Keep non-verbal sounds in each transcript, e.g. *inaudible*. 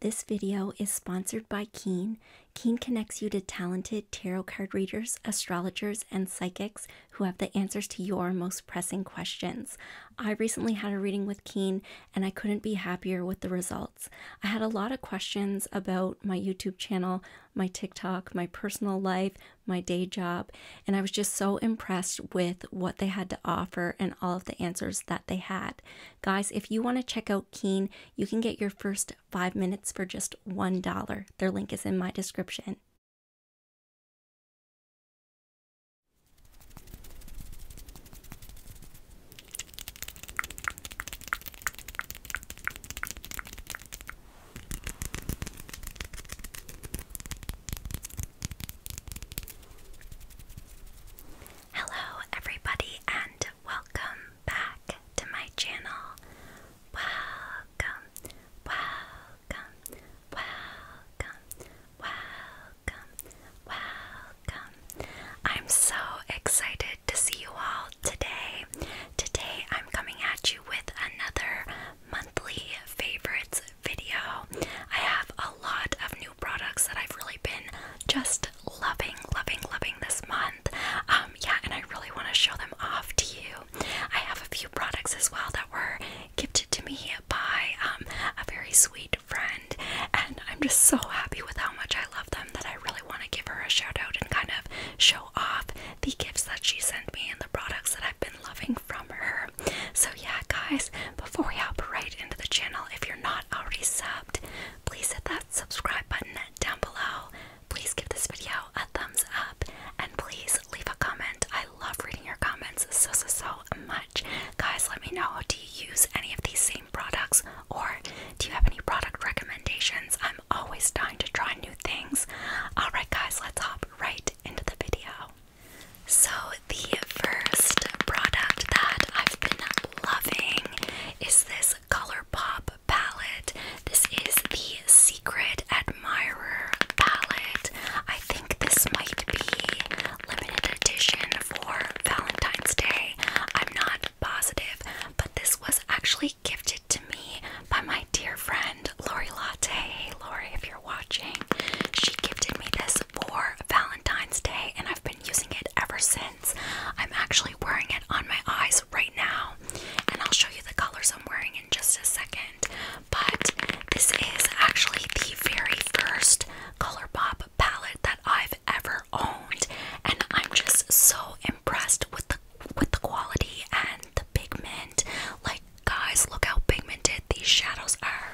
This video is sponsored by Keen. Keen connects you to talented tarot card readers, astrologers, and psychics who have the answers to your most pressing questions. I recently had a reading with Keen and I couldn't be happier with the results. I had a lot of questions about my YouTube channel, my TikTok, my personal life, my day job. And I was just so impressed with what they had to offer and all of the answers that they had. Guys, if you want to check out Keen, you can get your first five minutes for just $1. Their link is in my description. Hello, everybody, and welcome back to my channel. Welcome, welcome, welcome, welcome, welcome. I'm so excited to see you all today. Today I'm coming at you with another monthly favorites video. I have a lot of new products that I've really been just loving, loving, loving this month. Um, yeah, and I really want to show them off to you. I have a few products as well that were gifted to me by um, a very sweet friend, and I'm just so happy with how much I love them that I really want to give her a shout out and kind of show off the gifts that she sent me and the products that I've been loving from her. So, yeah, guys, before we hop right into the channel, if you're not already subbed, please hit that subscribe button down below. Please give this video a thumbs up and please leave a comment. I love reading your comments so, so, so much. Guys, let me know do you use any of these same products or do you have any product recommendations? always dying to try new things. Alright, guys, let's hop right into the video. So, the first product that I've been loving is this ColourPop palette. This is the Secret Admirer palette. I think this might be limited edition for Valentine's Day. I'm not positive, but this was actually gifted to me by my dear friend Lori Latte. Hey Lori, if you're watching, she gifted me this for Valentine's Day and I've been using it ever since. I'm actually wearing it on my eyes right now, and I'll show you the colors I'm wearing in just a second. But this is actually the very first ColourPop palette that I've ever owned, and I'm just so impressed with the with the quality and the pigment. Like, guys, look how pigmented these shadows are.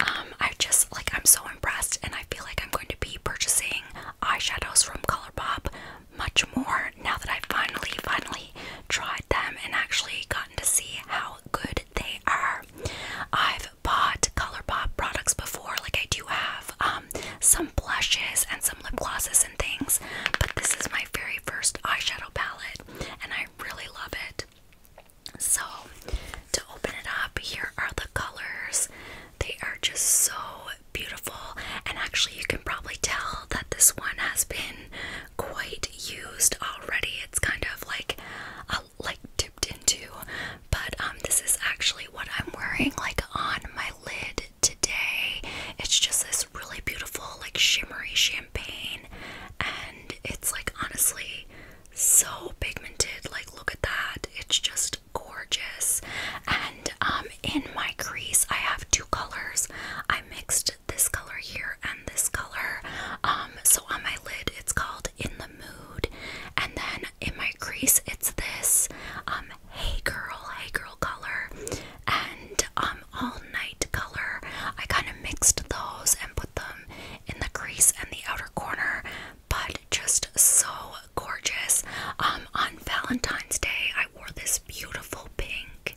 Um, I just like I'm so impressed, and I feel like I'm going to be purchasing eyeshadows from ColourPop much more now that I have finally, finally tried them and actually gotten to see how good they are. I've bought ColourPop products before, like I do have um some blushes and some lip glosses and things, but this is my very first eyeshadow palette and I really love it. So, to open it up, here are the colors. They are just so beautiful, and actually, you can probably tell that this one has been quite used already. It's kind of like uh, like dipped into, but um, this is actually what I'm wearing like on my lid today. It's just this really beautiful, like shimmery champagne, and it's like honestly so pigmented. Like, look at that, it's just gorgeous. And um, in my crease, I have two colors. I mixed this color here and this color. Um, so on my lid, it's called In the Mood, and then in my crease, it's this um, Hey Girl, Hey Girl color and um All Night color. I kind of mixed those and put them in the crease and the outer corner, but just so gorgeous. Um on Valentine's Day I wore this beautiful pink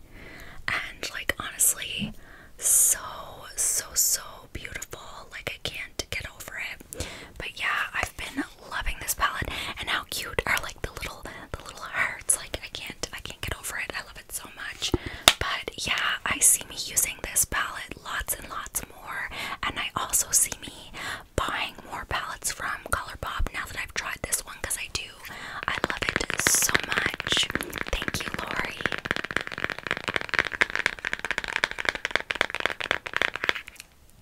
and like honestly so so so beautiful like I can't get over it. But yeah, I've been loving this palette and how cute are like the little the little hearts like I can't I can't get over it I love it so much but yeah I see me using this palette lots and lots more and I also see me buying more palettes from ColourPop now that I've tried this one because I do I love it so much thank you Lori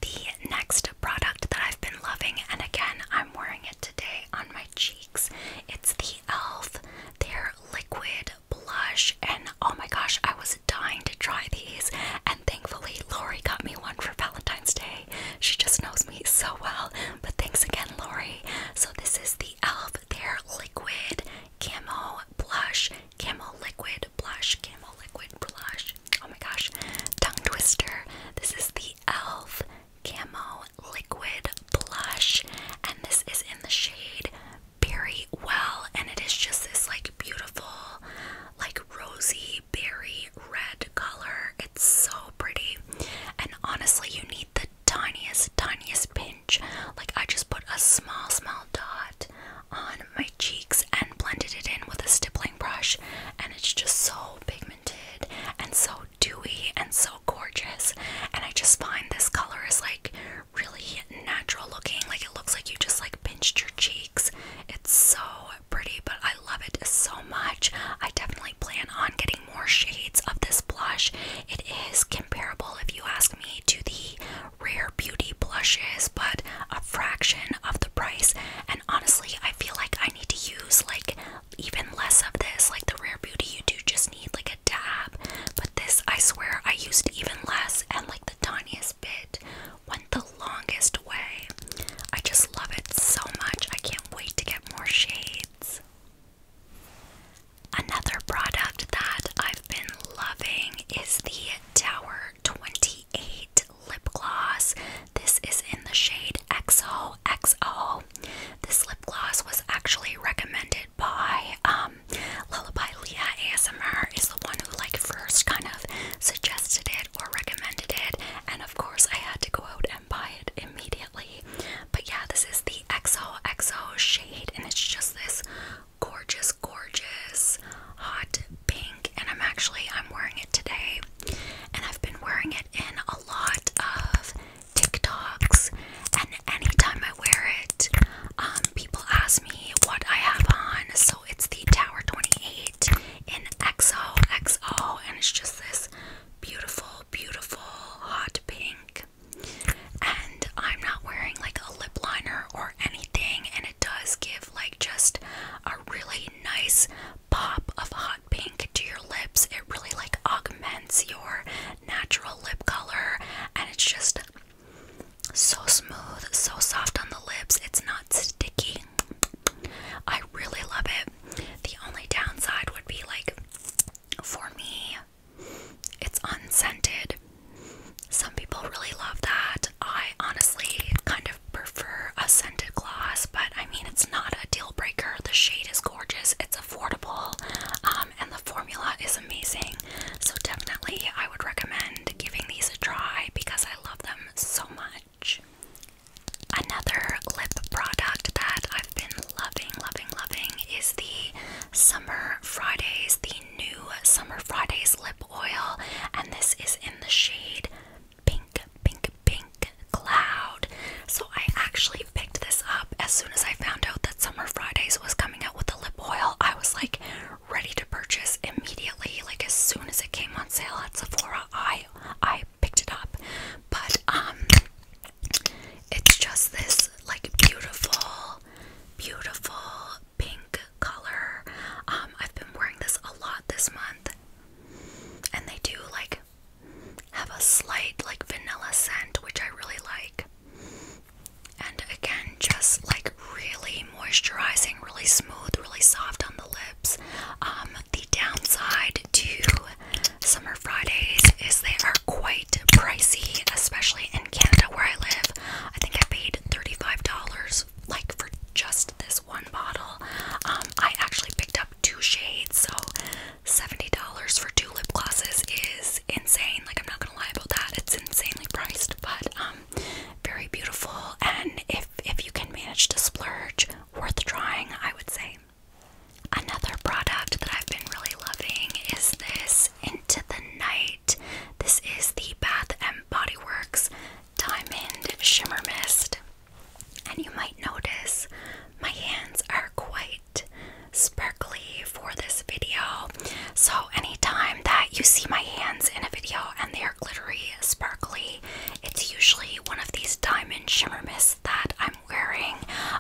the next product that I've been loving, and again, I'm wearing it today on my cheeks, it's the e.l.f. Their liquid blush, and oh my gosh, I was dying to try these. And thankfully, Lori got me one for Valentine's Day. She just knows me so well. But thanks again, Lori. So, this is the e.l.f. Their liquid Camel blush, Camel liquid blush, Camel liquid blush. Oh my gosh, tongue twister. This is the e.l.f. Camo Liquid Blush, and this is in the shade Berry Well, and it is just this like beautiful, like rosy berry red color. It's so pretty, and honestly, you need the tiniest, tiniest pinch. Like, I just put a small, small dot on my cheeks and blended it in with a stippling brush, and it's just so pigmented and so dewy and so gorgeous. And I just find this color is like really natural looking. Like it looks like you just like pinched your cheeks. It's so pretty, but I love it so much. I definitely plan on getting more shades of this blush. It is comparable, if you ask me, to the Rare Beauty blushes, but a fraction of the price. And honestly, I feel like I. I need to use like even less of this. Like the Rare Beauty, you do just need like a dab. But this, I swear, I used even less and like the tiniest bit went the longest way. I just love it so much. I can't wait to get more shades. Another product that I've been loving is the Tower 20 28 lip gloss. This is in the shade XOXO. This lip gloss was actually recommended by um, Lullaby Leah ASMR is the one who like first kind of suggested it or recommended it and of course I had to go out and buy it immediately. But yeah, this is the XOXO shade and it's just this gorgeous gorgeous hot pink and I'm actually I'm wearing it today and I've been wearing it in a lot of TikToks. And anytime I wear it, um, people ask me what I have on. So it's the Tower 28 in XOXO, and it's just this beautiful, beautiful hot pink. And I'm not wearing like a lip liner or anything, and it does give like just a really nice pop of hot pink to your lips. It really like augments your natural lip color and it's just so smooth, so soft on the lips. It's not sticky. I really love it. The only downside would be like for me, it's unscented. Some people really love that. I honestly kind of prefer a scented gloss, but I mean, it's not a deal breaker. The shade is gorgeous, it's affordable, um, and the formula is amazing. So, definitely, I would recommend giving these a try because I love them so much. Another lip product that I've been loving, loving, loving is the Summer Fridays, the new Summer Fridays lip oil, and this is in the shade pink, pink, pink cloud. So I actually picked this up as soon as I found out that Summer Fridays was coming out with the lip oil. I was like ready to purchase immediately. Like as soon as it came on sale at Sephora, I I picked it up. But um it's just this like beautiful, beautiful pink color. Um I've been wearing this a lot this month. And they do like have a slight like vanilla scent, which I really like. And again, just like really moisturizing, really smooth, really soft on the lips. Um, the downside to Summer Fridays is they are quite pricey, especially in Canada where I live. I think I paid $35 like for just this one bottle. Um, I actually picked up two shades, so $70 for two lip glosses is insane. Like, I'm not gonna lie about that, it's insanely priced, but um, very beautiful. And if, if you can manage to splurge, worth trying, I would say. Another product that I've been really loving is this Into the Night. This is the Bath and Body Works Diamond Shimmer Mist. And you might notice my hands are quite sparkly for this video. So, anytime that you see my hands in a video and they are glittery, sparkly, it's usually one of these diamond shimmer Mist that I'm wearing.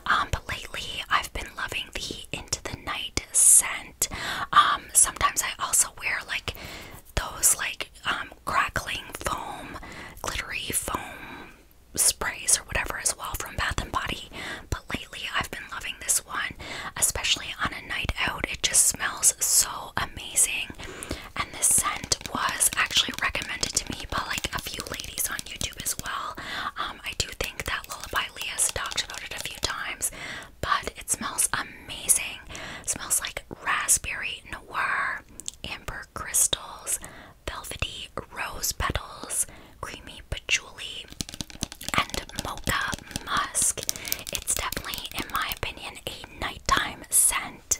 Um, but lately, I've been loving the Into the Night scent. Um, sometimes I also wear like those like um, crackling foam, glittery foam sprays or whatever as well from Bath and Body. But lately I've been loving this one, especially on a night out. It just smells so amazing. And this scent was actually recommended to me by like a few ladies on YouTube as well. Um, I do think that Lullaby has talked about it a few times, but it smells amazing. smells like raspberry noir, amber crystals, velvety rose petals, creamy patchouli, and mocha musk. It's definitely, in my opinion, a nighttime scent.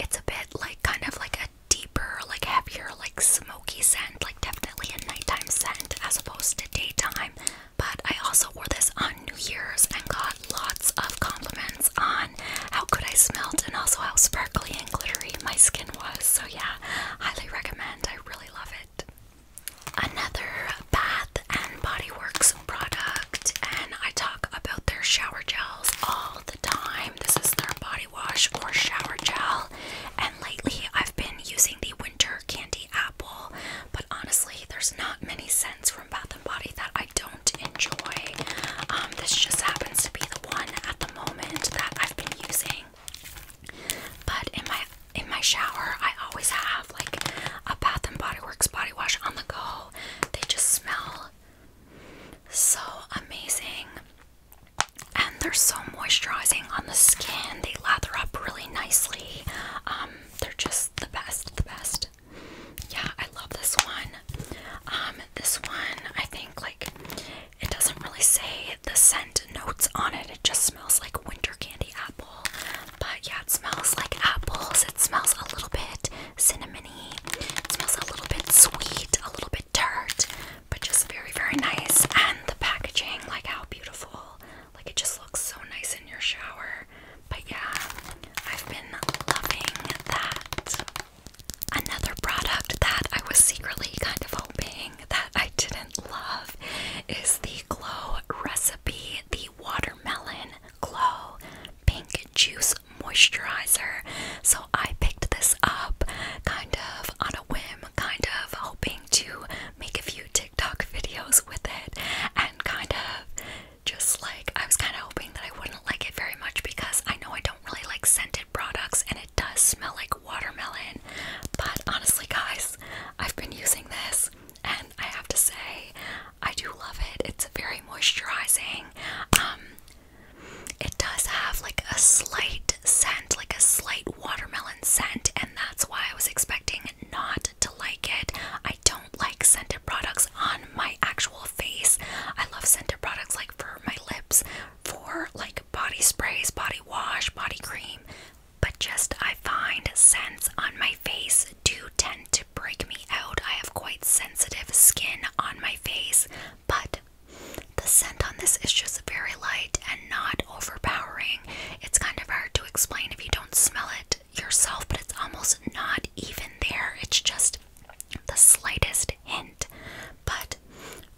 It's a bit like kind of like a deeper, like heavier, like smoky scent, like definitely a nighttime scent as opposed to daytime. But I also wore this on New Year's and got lots of compliments on how good I smelled and also how sparkly and glittery my skin was. So, yeah, highly recommend. I really love it. Another Bath and Body Works product, and I talk about their shower gels all the time. This is their body wash or shower gel, and lately I've been using the Winter Candy but honestly, there's not many scents from Bath and Body that I don't enjoy. Um, this just happens to be the one at the moment that I've been using. But in my in my shower, I always have like a Bath and Body Works body wash on the go. They just smell so amazing. And they're so moisturizing on the skin. They lather up really nicely. Um, they're just the best, the best yeah, I love this one. Um, this one, I think, like, it doesn't really say the scent notes on it. It just smells like winter candy apple. But yeah, it smells like apples. It smells a little bit cinnamony. It smells a little bit sweet, a little bit tart, but just very, very nice. And the packaging, like, how beautiful like it just looks so nice in your shower. But yeah, I've been loving that. Another product that I was secretly kind of hoping that I didn't love is the Glow Recipe, the Watermelon Glow Pink Juice Moisturizer. So I picked this up kind of on a whim, kind of hoping to make a few TikTok videos with it and kind of just like I was kind of hoping that I wouldn't like it very much because I know I don't really like scented products and it does smell like watermelon. But honestly, guys, I've been using this and I have to say I do love it. It's very moisturizing. Um, it does have like a slight scent, like a slight watermelon scent, and that's why I was expecting not to like it. I I don't like scented products on my actual face. I love scented products like for my lips, for like body sprays, body wash, body cream. But just I find scents on my face do tend to break me out. I have quite sensitive skin on my face, but the scent on this is just very light and not overpowering. It's kind of hard to explain if you don't smell it yourself, but it's almost not even there. It's just the slightest hint. But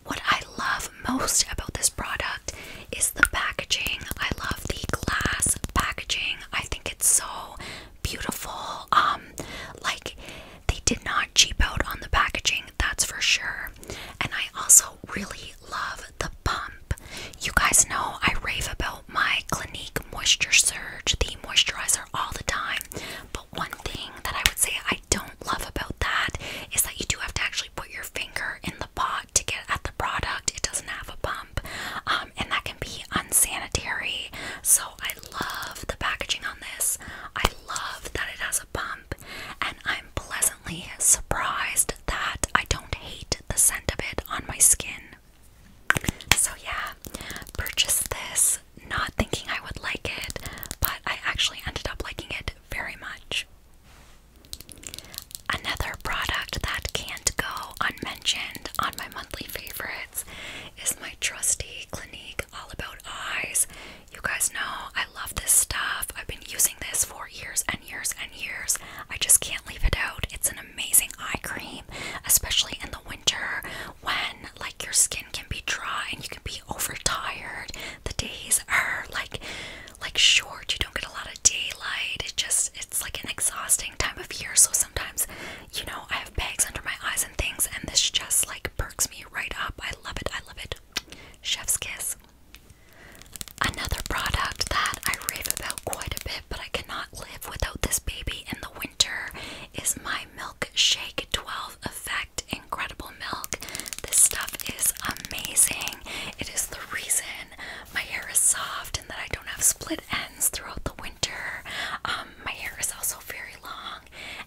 what I love most about this product is the packaging. I love the glass packaging. I think it's so beautiful. Um like they did not cheap out on the packaging, that's for sure. And I also really love the pump. You guys know I rave about my Clinique Moisture Surge, the moisturizer, all the time. But one thing that I would say I don't love about that is that you do have to actually put your finger in the pot to get at the product. It doesn't have a pump, um, and that can be unsanitary. So I love the packaging on this. I love that it has a pump, and I'm pleasantly surprised that I don't hate the scent of it on my skin. So, yeah, purchased this not thinking I would like it, but I actually ended up liking it very much. Another product that can't go unmentioned on my monthly favorites is my trusty Clinique All About Eyes. You guys know I love this stuff. I've been using this for years and years and years. I just can't leave it out. It's an amazing eye cream, especially in the winter when like your skin can be dry and you can be overtired. The days are like like short, you don't get a lot of daylight. It just it's like an exhausting time of year. So sometimes, you know, I have bags under my eyes and things and this just like perks me right up. I love it. I love it. Chef's kiss. Another product that I rave about quite a bit, but I cannot live without this baby in the winter, is my Milkshake 12 Effect Incredible Milk. This stuff is amazing. It is the reason my hair is soft and that I don't have split ends throughout the winter. Um, my hair is also very long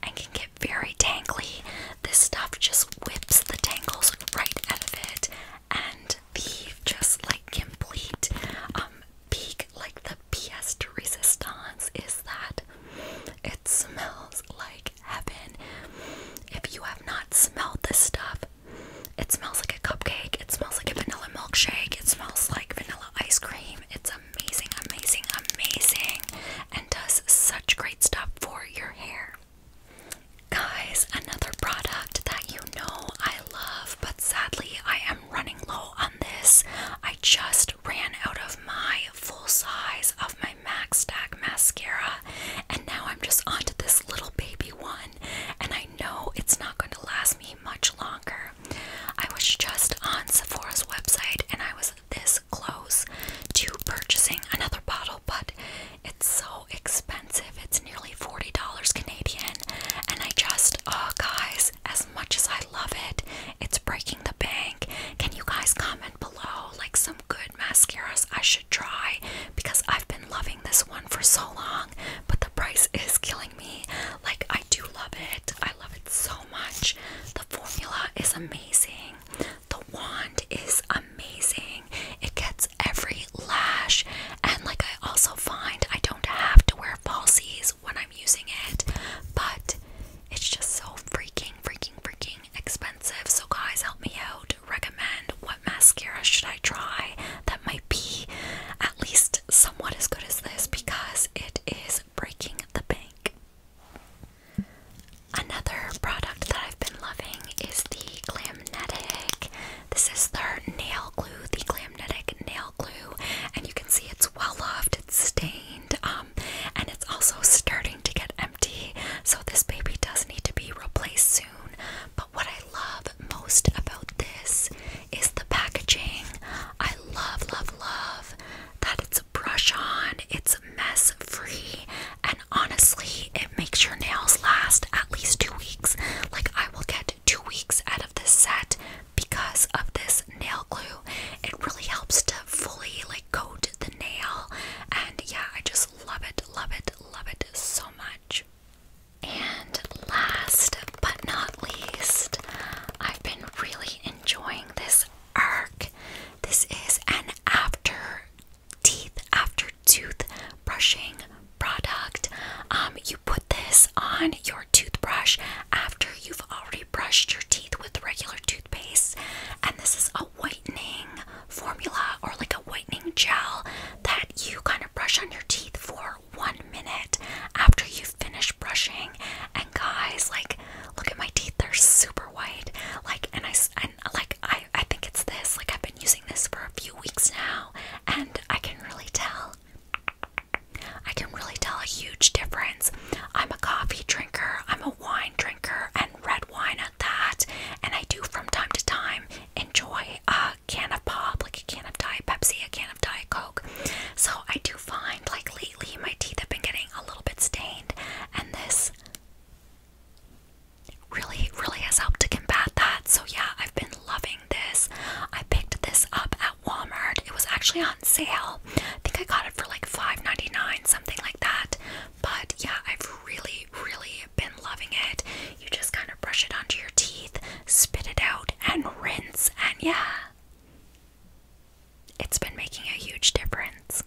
and can get very tangly. This stuff just whips the tangles right out of it, and Thief, just like complete um peak, like the pièce de resistance is that it smells like heaven. If you have not smelled this stuff, it smells like a cupcake, it smells like a vanilla milkshake, it smells like vanilla ice cream. It's amazing, amazing, amazing, and does such great stuff for your hair. Guys, another product that you know I love, but sadly I am running low on this. I just ran out of my full size of my MAC Stack mascara, and now I'm just onto this little baby one, and I know it's not going to last me much longer. I was just on Sephora's website and I was this close to purchasing another bottle, but it's so expensive. It's nearly $40 Canadian. And I just, oh guys, as much as I love it, it's breaking the bank. Can you guys comment below like some good mascaras I should try? Because I've been loving this one for so long, but the price *laughs* is killing me. Like, I do love it. I love it so much. The formula is amazing. The wand is amazing. It gets every lash, and like I also find I don't have to wear falsies when I'm using it, but it's just so freaking, freaking, freaking expensive. So, guys, help me out. Recommend what mascara should I try that might be at least somewhat as good as this because it is breaking the bank. Another product that I've been loving is the Glamnetic this is their nail glue, the Glamnetic nail glue, and you can see it's well loved, it's stained, um, and it's also starting to get empty. So this baby does need to be replaced soon. But what I love most about this is the packaging. I love, love, love that it's brush on, it's mess free, and honestly, it makes your nails last at least two weeks. Like, I will get two weeks out of this set because of this nail glue. It really helps to fully, like, coat the nail. And yeah, I just love it, love it, love it so much. And last but not least, I've been really enjoying this arc. This is an after teeth after tooth brushing product. Um, you put this on your toothbrush after you've already brushed your teeth with regular toothpaste, and this is a whitening formula or like a whitening gel that you kind of brush on your teeth for one minute after you finish brushing. And guys, like, look at my teeth; they're super white. Like, and I and like I I think it's this. Like, I've been using this for a few weeks now, and I can really tell. I can really tell a huge difference. I'm a coffee drinker, I'm a wine drinker, and red wine at that. And I do from time to time enjoy a can of pop, like a can of Diet Pepsi, a can of Diet Coke. So I do find like lately my teeth have been getting a little bit stained, and this really, really has helped to combat that. So, yeah, I've been loving this. I picked this up at Walmart. It was actually on sale. I think I got it for like 5 something like that. But yeah, I've really, really been loving it. You just kind of brush it onto your teeth, spit it out, and rinse. And yeah, it's been making a huge difference.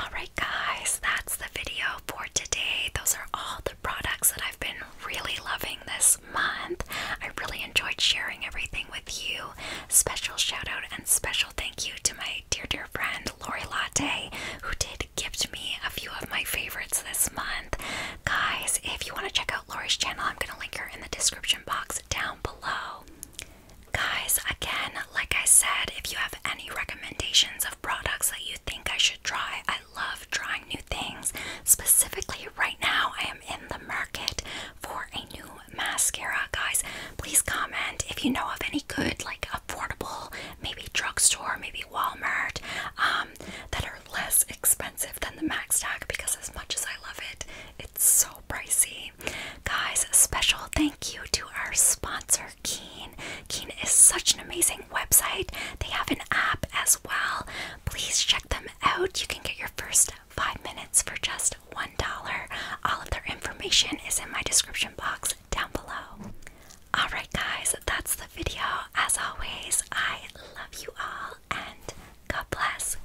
Alright, guys, that's the video for today. Those are all products that I've been really loving this month. I really enjoyed sharing everything with you. Special shout out and special thank you to my dear, dear friend Lori Latte, who did gift me a few of my favorites this month. Guys, if you want to check out Lori's channel, I'm going to link her in the description box down below. Guys, again, like I said, if you have any recommendations of products that you think I should try, I I love trying new things. Specifically, right now, I am in the market for a new mascara. Guys, please comment if you know of any good, like affordable, maybe drugstore, maybe Walmart, um, that are less expensive than the MAC stack because, as much as I love it, it's so pricey. Guys, special thank you to our sponsor Keen. Keen is such an amazing website. They have an app as well. Please check them out. You can get your first five minutes for just $1. All of their information is in my description box down below. Alright, guys, that's the video. As always, I love you all and God bless.